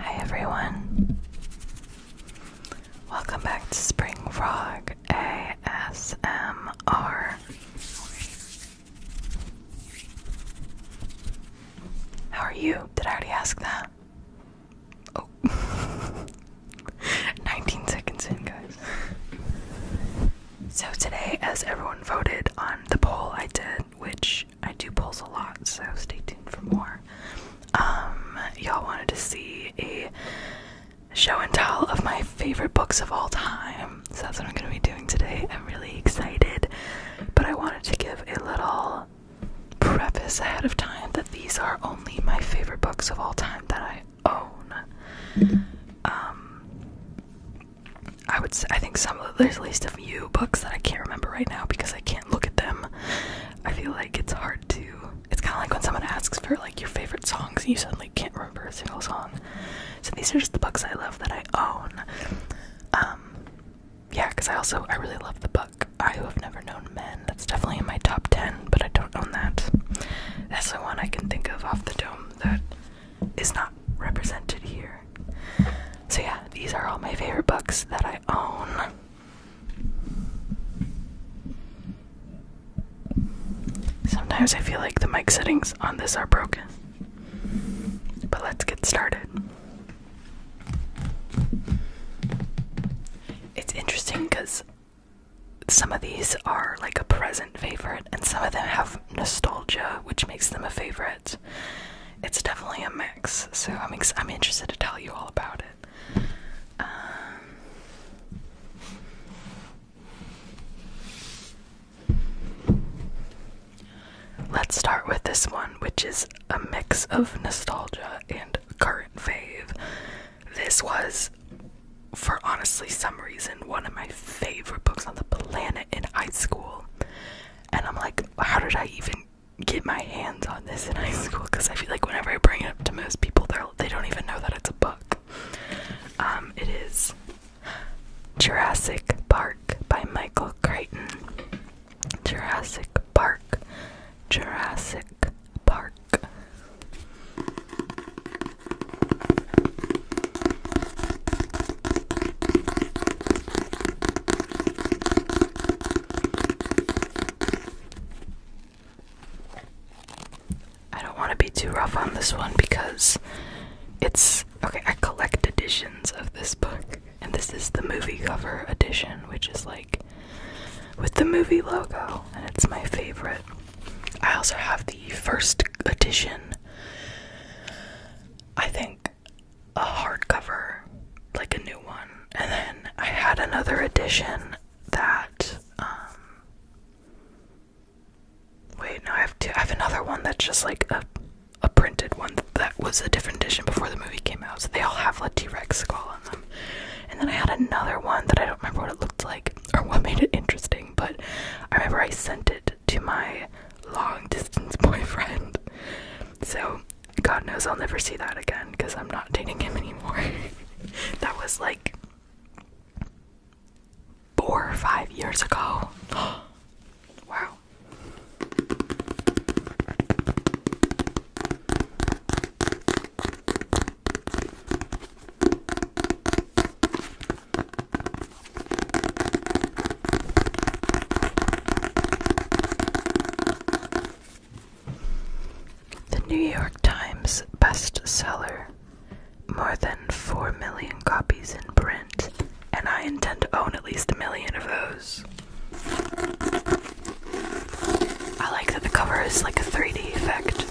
Hi everyone. Welcome back to Spring Frog ASMR. How are you? Did I already ask that? Oh. 19 seconds in, guys. So today as everyone voted on the poll I did which I do polls a lot, so stay tuned for more. Um, y'all wanted to see a show and tell of my favorite books of all time, so that's what I'm gonna be doing today. I'm really excited, but I wanted to give a little preface ahead of time that these are only my favorite books of all time that I own. Um, I would say, I think some of there's at least a few books that I can't remember right now because I can't look at them. I feel like it's hard to. It's kind of like when someone asks for like your favorite songs and you suddenly can't remember a single song. So these are just the books I love that I own. Um, yeah, because I also I really love the book I Who Have Never Known Men. That's definitely in my top ten, but I don't own that. That's the one I can think of off the dome that is not represented here. So, yeah, these are all my favorite books that I own. Sometimes I feel like the mic settings on this are broken. But let's get started. It's interesting because some of these are like a present favorite, and some of them have nostalgia, which makes them a favorite. It's definitely a mix, so I'm I'm interested to tell you all about it. Um, let's start with this one, which is a mix of nostalgia and current fave. This was, for honestly some reason, one of my favorite books on the planet in high school and I'm like, how did I even get my hands on this in high school? Because I feel like whenever I bring it up to most people, they they don't even know that it's a book. Um, it is Jurassic Park by Michael Crichton. Jurassic Park. Jurassic Park. I don't want to be too rough on this one because it's okay. I collect editions of this book, and this is the movie cover edition, which is like with the movie logo, and it's my favorite. I also have the first edition. I think a hardcover, like a new one, and then I had another edition that um wait, no, I have two I have another one that's just like a a printed one that was a different edition before the movie came out. So they all have a T Rex skull on them. And then I had another one that I don't remember what it looked like or what made it interesting, but I remember I sent it to my long distance boyfriend. So, God knows I'll never see that again because I'm not dating him anymore. that was like four or five years ago. wow. The New York Times bestseller, more than 4 million copies in print, and I intend to own at least a million of those. I like that the cover is like a 3D effect.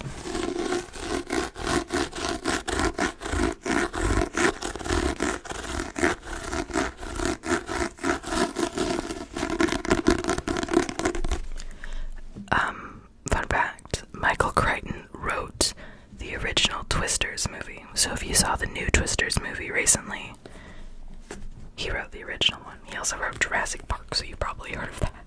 Um, fun fact Michael Crichton wrote the original Twisters movie. So if you saw the new Twisters movie recently, he wrote the original one. He also wrote Jurassic Park, so you probably heard of that.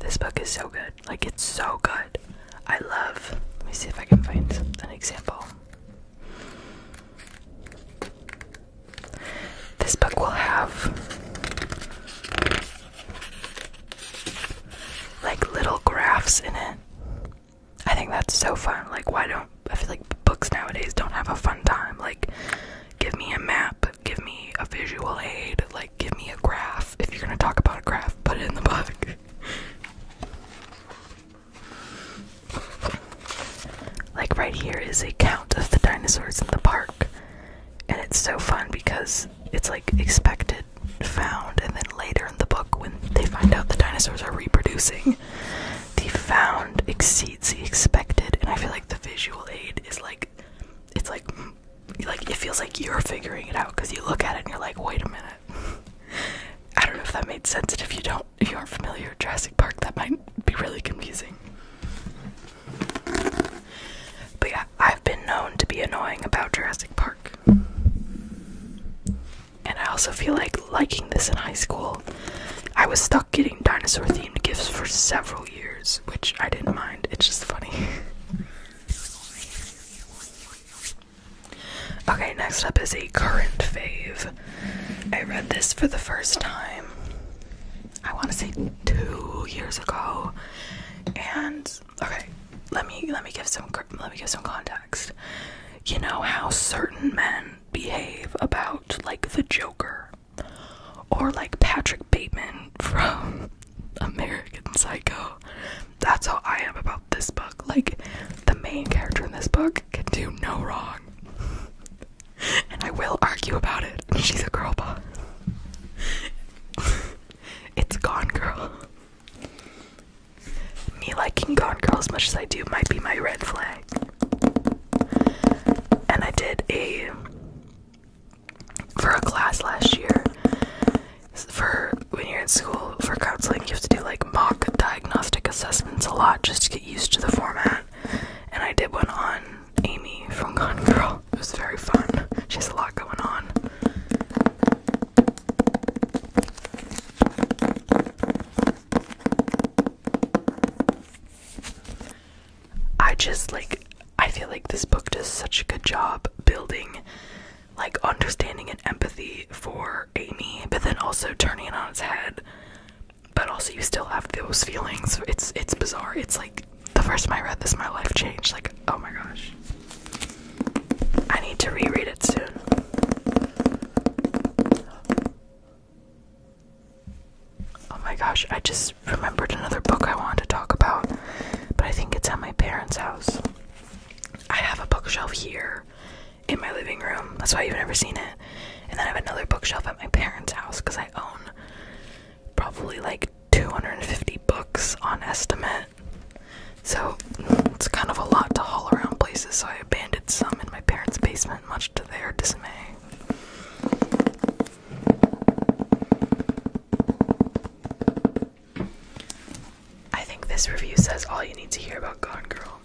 This book is so good. Like, it's so good. I love. Let me see if I can find an example. This book will have like little graphs in it. I think that's so fun. Like, why don't I feel like books nowadays don't have a fun time? Like, give me a map, give me a visual aid, like, give me a graph. If you're gonna talk about a graph, put it in the book like right here is a count of the dinosaurs in the park. And it's so fun because it's like expected, found, and then later in the book when they find out the dinosaurs are reproducing, the found exceeds the expected, and I feel like the visual aid is like it's like like it feels like you're figuring it out because you look at it and you're like, wait a minute. I don't know if that made sense, if you don't, if you aren't familiar with Jurassic Park, that might be really confusing. But yeah, I've been known to be annoying about Jurassic Park. And I also feel like liking this in high school. I was stuck getting dinosaur themed gifts for several years, which I didn't mind. It's just funny. Okay, next up is a current fave. I read this for the first time, I want to say two years ago. And okay, let me let me give some let me give some context. You know how certain men behave about like the Joker or like Patrick Bateman from American Psycho that's how I am about this book. Like, the main character in this book can do no wrong. and I will argue about it. She's a girl boss. it's Gone Girl. Me liking Gone Girl as much as I do might be my red flag. And I did a. For a class last year, for when you're in school for counseling, you have to do like mock diagnostic assessments a lot just to get used to the format. And I did one on Amy from Gone Girl. It was very fun. She has a lot going on. I just like I feel like this book does such a good job building like understanding and empathy for Amy, but then also turning it on its head. But also, you still have those feelings. It's it's bizarre. It's like the first time I read this, my life changed. Like, oh my gosh, I need to reread it soon. Oh my gosh, I just remembered another book I wanted to talk about, but I think it's at my parents' house. I have a bookshelf here in my living room. That's why you've never seen it. And then I have another bookshelf at my parents' house because I own probably like 250 books on estimate. So it's kind of a lot to haul around places, so I abandoned some in my parents' basement, much to their dismay. I think this review says all you need to hear about Gone Girl.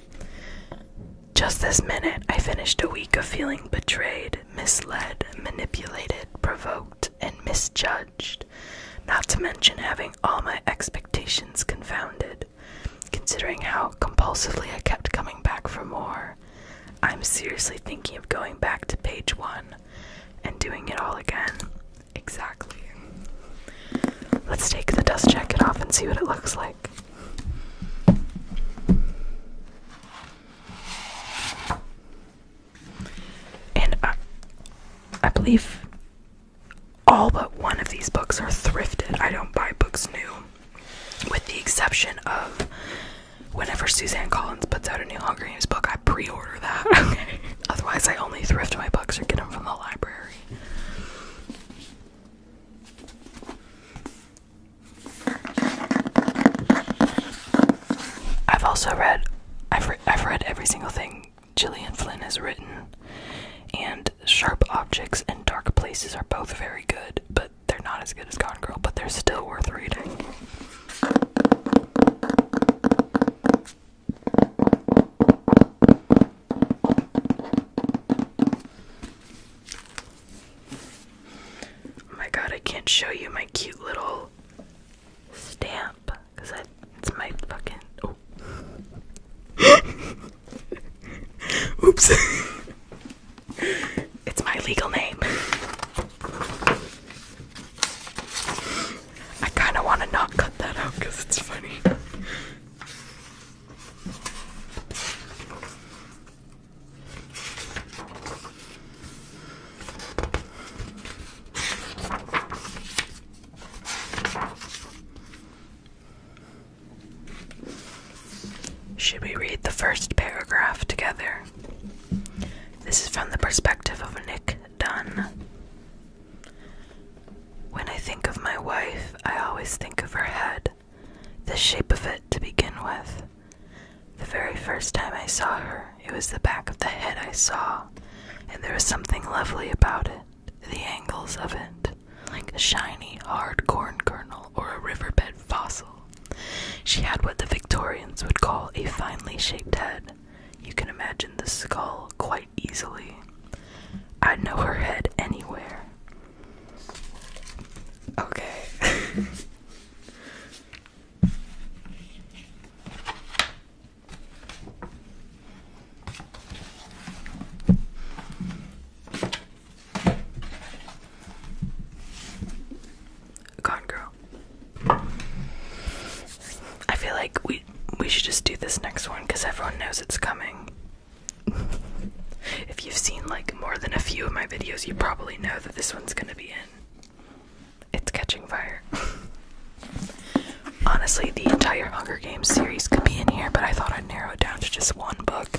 Just this minute, I finished a week of feeling betrayed, misled, manipulated, provoked, and misjudged, not to mention having all my expectations confounded. Considering how compulsively I kept coming back for more, I'm seriously thinking of going back to page one and doing it all again. Exactly. Let's take the dust jacket off and see what it looks like. And uh, I, believe all but one of these books are thrifted. I don't buy books new, with the exception of whenever Suzanne Collins puts out a new Hunger Games book, I pre order that. Otherwise, I only thrift my books or get them from the library. I've also read I've I've read every single thing Gillian Flynn has written and Sharp Objects and Dark Places are both very good, but they're not as good as Gone Girl, but they're still worth reading. Oh my god, I can't show you my cute little stamp because it's my fucking. Oh. Oops. it's my legal name. I kind of want to not cut that out because it's funny. Should we read the first paragraph together? This is from the perspective of Nick Dunn. When I think of my wife, I always think of her head, the shape of it to begin with. The very first time I saw her, it was the back of the head I saw, and there was something lovely about it, the angles of it, like a shiny, hard corn kernel or a riverbed fossil. She had what the Victorians would call a finely shaped head. You can imagine the skull quite easily. I'd know her head anywhere. Okay. Gone Girl. I feel like we we should just do this next one because everyone knows it's coming. if you've seen like more than a few of my videos, you probably know that this one's gonna be in. It's catching fire. Honestly, the entire Hunger Games series could be in here, but I thought I'd narrow it down to just one book.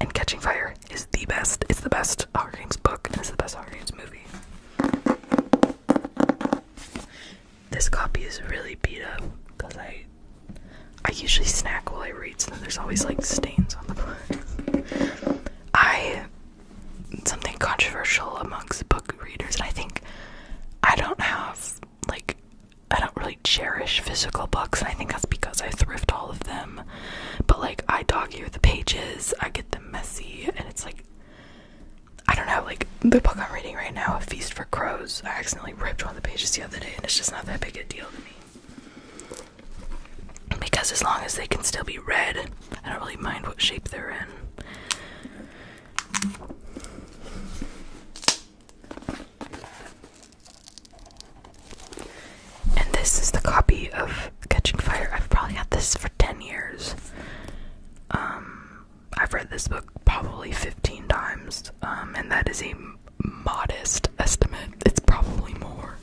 And Catching Fire is the best. It's the best Hunger Games book, and it's the best Hunger Games movie. This copy is really beat up because I I usually snack while I read, so there's always like stains on the book. I something controversial amongst book readers. and I think I don't have like I don't really cherish physical books, and I think that's because I thrift all of them. But like I dog ear the pages, I get them messy, and it's like I don't know, like the book I'm reading right now, A Feast for Crows, I accidentally ripped one of the pages the other day, and it's just not that big a deal to me. Because as long as they can still be read, I don't really mind what shape they're in. And this is the copy of Catching Fire. I've probably had this for 10 years. Um, I've read this book probably 15 times, um, and that is a modest estimate. It's probably more.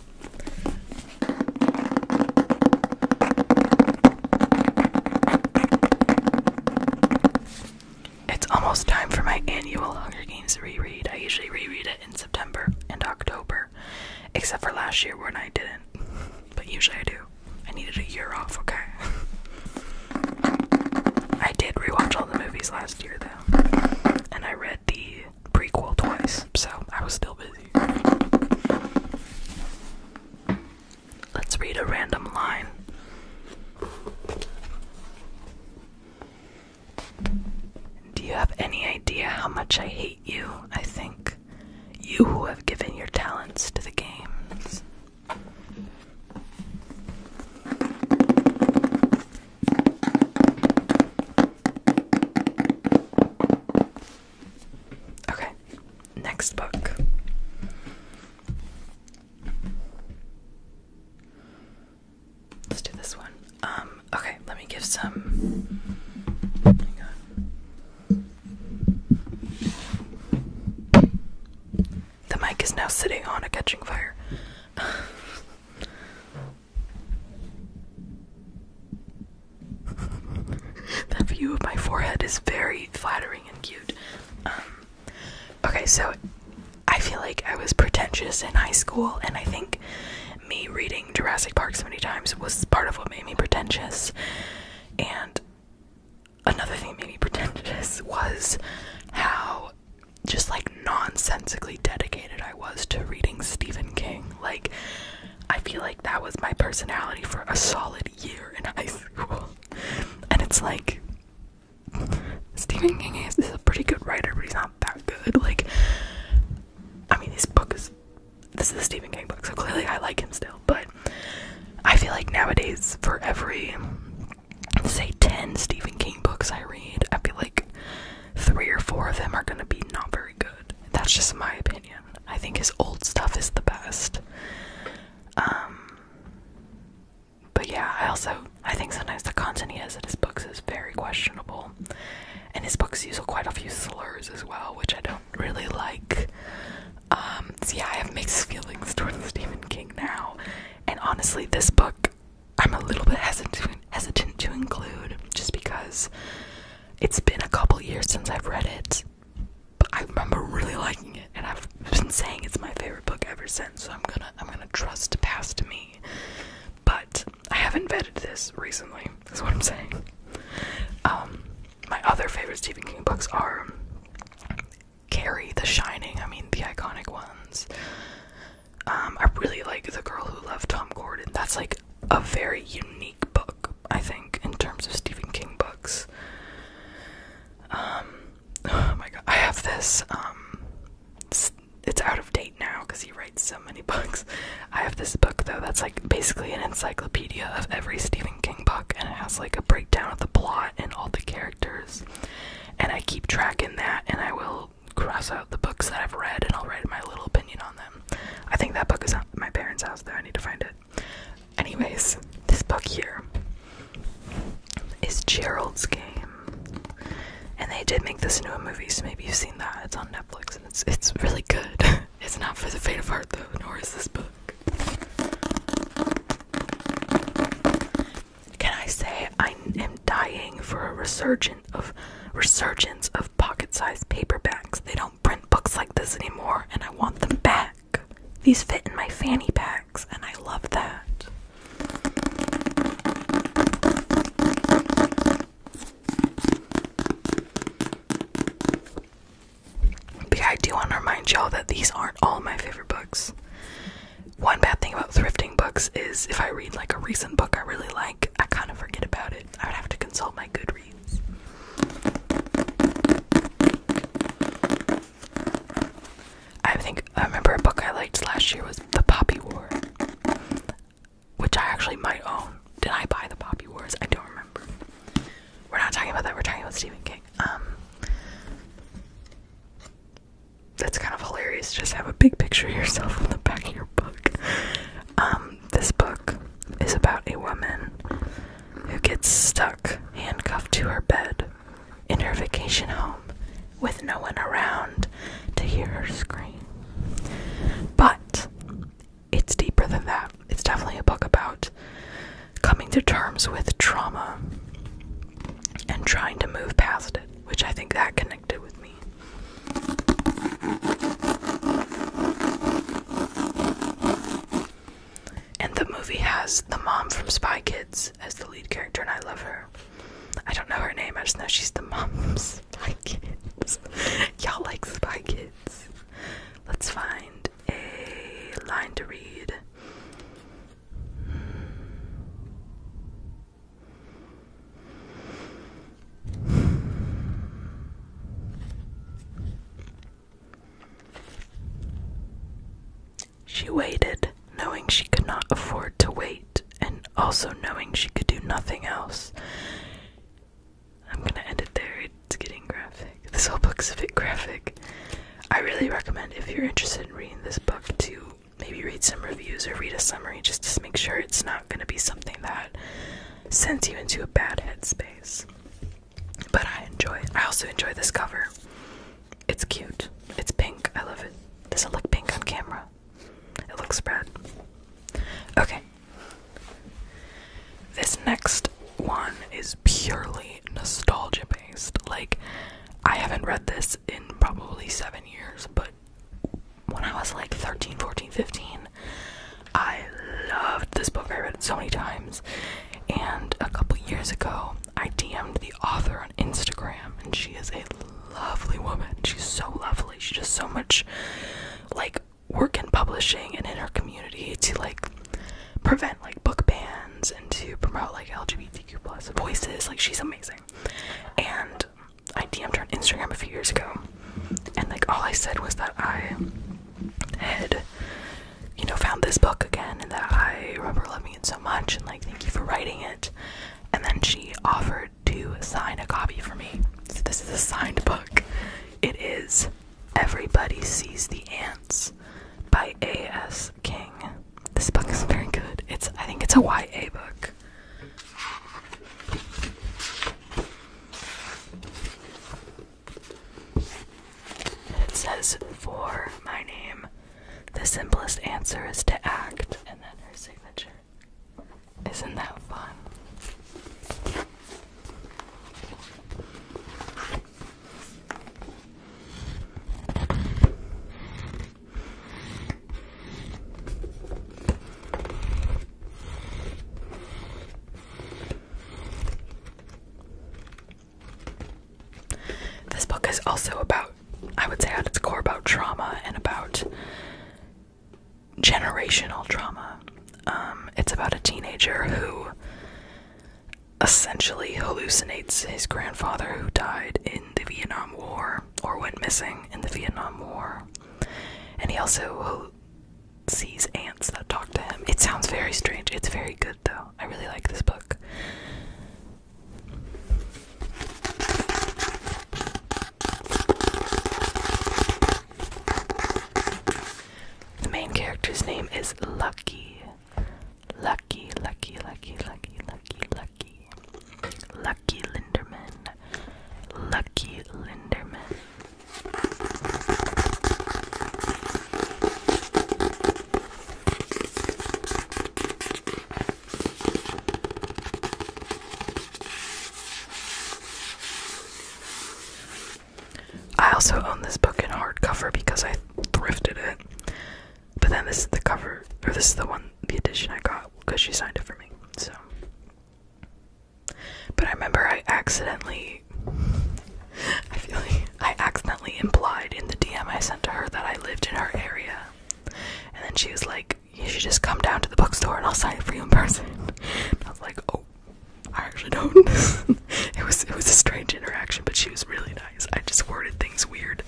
It's almost time for my annual Hunger Games reread. I usually reread it in September and October, except for last year when I didn't. But usually I do. I needed a year off, okay? I did rewatch all the movies last year though, and I read the prequel twice, so I was still busy. Let's read a random line. Do you have any idea how much I hate you? I think you who have given your talents to the games. Okay, next book. Let's do this one. Um, okay, let me give some. Hang on. The mic is now sitting on a catching fire. that view of my forehead is very flattering and cute. Um, okay, so I feel like I was pretentious in high school, and I think me reading Jurassic Park so many times was part of what made me pretentious. And another thing that made me pretentious was how just like nonsensically dedicated I was to reading Stephen King. Like, I feel like that was my personality for a solid year in high school. And it's like, Stephen King is, is a pretty good writer, but he's not that good. Like, I mean, this book is. This is the Stephen King book, so clearly I like him still. But I feel like nowadays, for every say 10 Stephen King books I read, I feel like three or four of them are gonna be not very good. That's just my opinion. I think his old stuff is the best. Um, but yeah, I also I think sometimes the content he has in his books is very questionable, and his books use quite a few slurs as well, which I don't really like. Um, so yeah, I have mixed feelings towards Stephen King now, and honestly, this book I'm a little bit hesitant hesitant to include just because it's been a couple years since I've read it. But I remember really liking it, and I've been saying it's my favorite book ever since. So I'm gonna I'm gonna trust past me. But I haven't read this recently. That's what I'm saying. Um, my other favorite Stephen King books are Carrie, The Shining, I mean, the iconic ones. Um, I really like The Girl Who Loved Tom Gordon. That's like a very unique book, I think, in terms of Stephen King books. Um, oh my god, I have this, um, it's out of date now because he writes so many books. I have this book though that's like basically an encyclopedia of every Stephen King book and it has like a breakdown of the plot and all the characters and I keep tracking that and I will cross out the books that I've read and I'll write my little opinion on them. I think that book is at my parents' house though, I need to find it. Anyways, this book here is Gerald's Game. And they did make this into a movie, so maybe you've seen that. It's on Netflix and it's it's really good. it's not for the faint of heart though, nor is this book. Can I say I am dying for a resurgence of resurgence of pocket-sized paperbacks? They don't print books like this anymore, and I want them back. These fit in my fanny packs, and I love that. But yeah, I do want to remind y'all that these aren't all my favorite books. One bad thing about thrifting books is if I read like a recent book I really like, I kind of forget about it. I would have to consult my Goodreads. I think I remember a book I liked last year was The Poppy War, which I actually might own. Did I buy The Poppy Wars? I don't remember. We're not talking about that. We're talking about Stephen King. Um, that's kind of hilarious. Just have a big picture of yourself on the back of your book. Um, this book is about a woman who gets stuck, handcuffed to her bed in her vacation home with no one around to hear her scream. But it's deeper than that. It's definitely a book about coming to terms with trauma and trying to move past it, which I think that connected with me. And the movie has the mom from Spy Kids as the lead character, and I love her. I don't know her name, I just know she's the mom from Spy Kids. Y'all like Spy Kids. Let's find a line to read. She waited, knowing she could not afford to wait, and also knowing she could do nothing else. I'm gonna end it there, it's getting graphic. This whole book's a bit graphic. I really recommend, if you're interested in reading this book, to maybe read some reviews or read a summary just to make sure it's not going to be something that sends you into a bad headspace. But I enjoy it. I also enjoy this cover. It's cute. It's pink. I love it. Does not look pink on camera? It looks red. Okay. This next one is purely nostalgia based. Like, I haven't read this in probably seven years, but when I was like 13, 14, 15, I loved this book. I read it so many times. And a couple years ago, I DM'd the author on Instagram, and she is a lovely woman. She's so lovely. She does so much like work in publishing and in her community to like prevent like book bans and to promote like LGBTQ plus voices. Like she's amazing. And I DM'd her on Instagram a few years ago, and like all I said was that I had, you know, found this book again, and that I remember loving it so much, and like thank you for writing it. And then she offered to sign a copy for me. So this is a signed book. It is Everybody Sees the Ants by A.S. King. This book is very good. It's I think it's a YA book. it says for my name, the simplest answer is to act, and then her signature. Isn't that fun? This book is also about, I would say, at its core, about trauma and about generational trauma. Um, it's about a teenager who essentially hallucinates his grandfather who died in the Vietnam War or went missing in the Vietnam War. And he also sees ants that talk to him. It sounds very strange. It's very good though. I really like this book. The main character's name is Lucky. Lucky, lucky, lucky, lucky, lucky, lucky. Lucky Linderman. Lucky Linderman. I also own this book in hardcover because I thrifted it. But then this is the cover, or this is the one, the edition I got because she signed it for me. So, but I remember I accidentally, I feel like I accidentally implied in the DM I sent to her that I lived in her area, and then she was like, "You should just come down to the bookstore and I'll sign it for you in person." I was like, "Oh." I actually don't. it was it was a strange interaction, but she was really nice. I just worded things weird.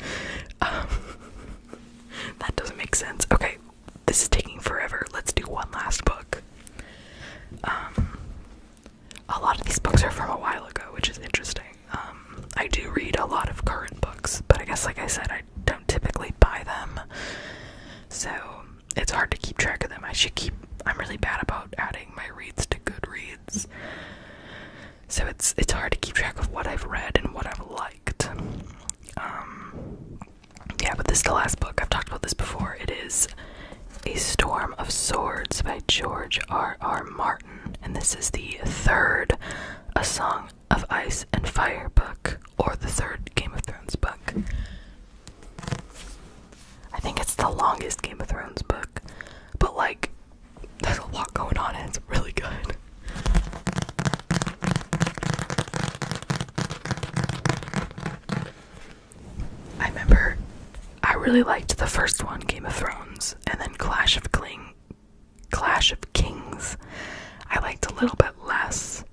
Um, that doesn't make sense. Okay, this is taking forever. Let's do one last book. Um, a lot of these books are from a while ago, which is interesting. Um, I do read a lot of current books, but I guess, like I said, I don't typically buy them, so it's hard to keep track of them. I should keep. I'm really bad about adding my reads to Goodreads. So it's it's hard to keep track of what I've read and what I've liked. Um, yeah, but this is the last book. I've talked about this before. It is A Storm of Swords by George R. R. Martin, and this is the third A Song of Ice and Fire book, or the third Game of Thrones book. I think it's the longest Game of Thrones book, but like there's a lot going on and it's really good. I remember I really liked the first one, Game of Thrones, and then Clash of Kling Clash of Kings. I liked a little bit less.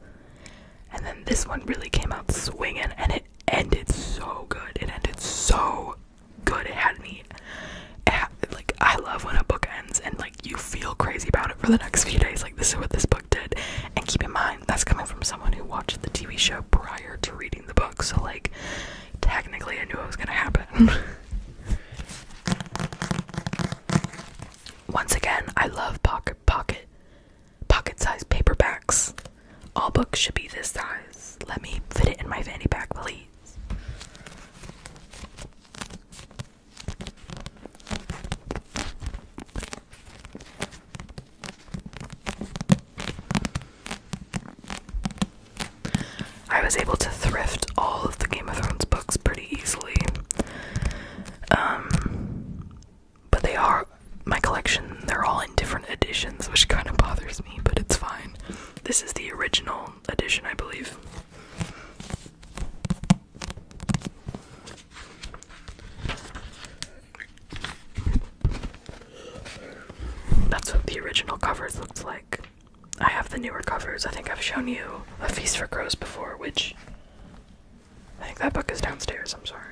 And then this one really came out swinging and it ended so good. It ended so good. It had me like I love when a book ends and like you feel crazy about it for the next few days. Like this is what this book did. And keep in mind that's coming from someone who watched the TV show prior to reading the book. So like technically I knew it was gonna happen. Once again, I love pocket pocket pocket-sized paperbacks. All books should be this size. Let me fit it in my fanny pack, please. I was able to thrift all of the Game of Thrones books pretty easily. Um, but they are my collection, they're all in different editions, which kind of bothers me, but it's fine. This is the original original edition, I believe. That's what the original covers looked like. I have the newer covers. I think I've shown you A Feast for Crows before, which I think that book is downstairs. I'm sorry.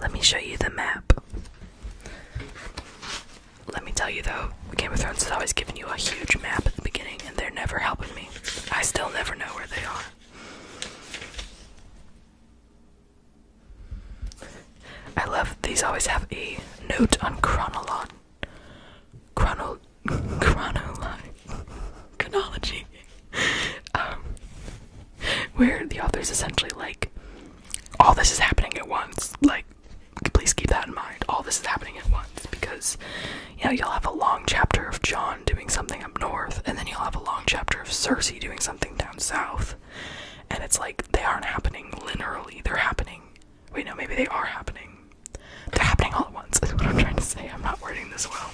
Let me show you the map. Let me tell you though, Game of Thrones has always given you a huge map at the beginning, and they're never helping me. I still never know where they are. I love these. Always have a note on chronolon, chrono, chronology, um, where the author's essentially like, all this is happening at once. Like, please keep that in mind. All this is happening at once because you know you'll have a long chapter of John doing something up north, and then you'll have a long chapter of Cersei doing something down south. And it's like they aren't happening linearly, they're happening. Wait, no, maybe they are happening. They're happening all at once, is what I'm trying to say. I'm not wording this well.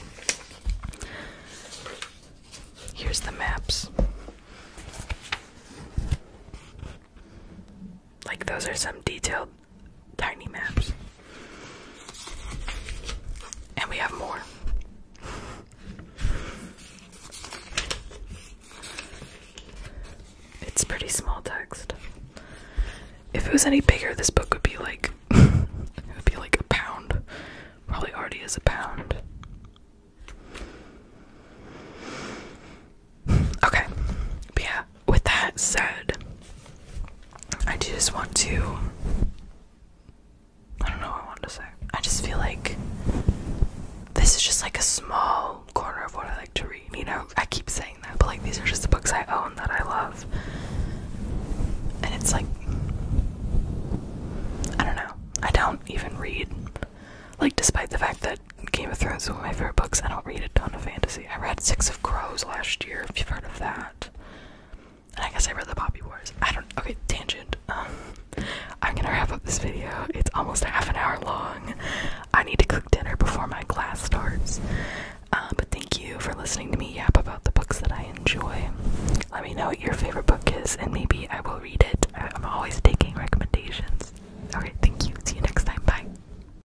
Here's the maps. Like, those are some detailed tiny maps. And we have more. It's pretty small text. If it was any bigger, this book would be like would be like a pound. Probably already is a pound. Okay. yeah, with that said, I just want to I don't know I wanted to say. I just feel like this is just like a small corner of what I like to read. You know, I keep saying that, but like these are just the books I own that I love. And it's like I don't know. I don't even read like despite the fact that Game of Thrones is one of my favorite books, I don't read a ton of fantasy. I read six Crows last year, if you've heard of that. And I guess I read the Poppy Wars. I don't. Okay, tangent. Um, I'm gonna wrap up this video. It's almost half an hour long. I need to cook dinner before my class starts. Uh, but thank you for listening to me yap about the books that I enjoy. Let me know what your favorite book is, and maybe I will read it. I'm always taking recommendations. Alright, thank you. See you next time. Bye.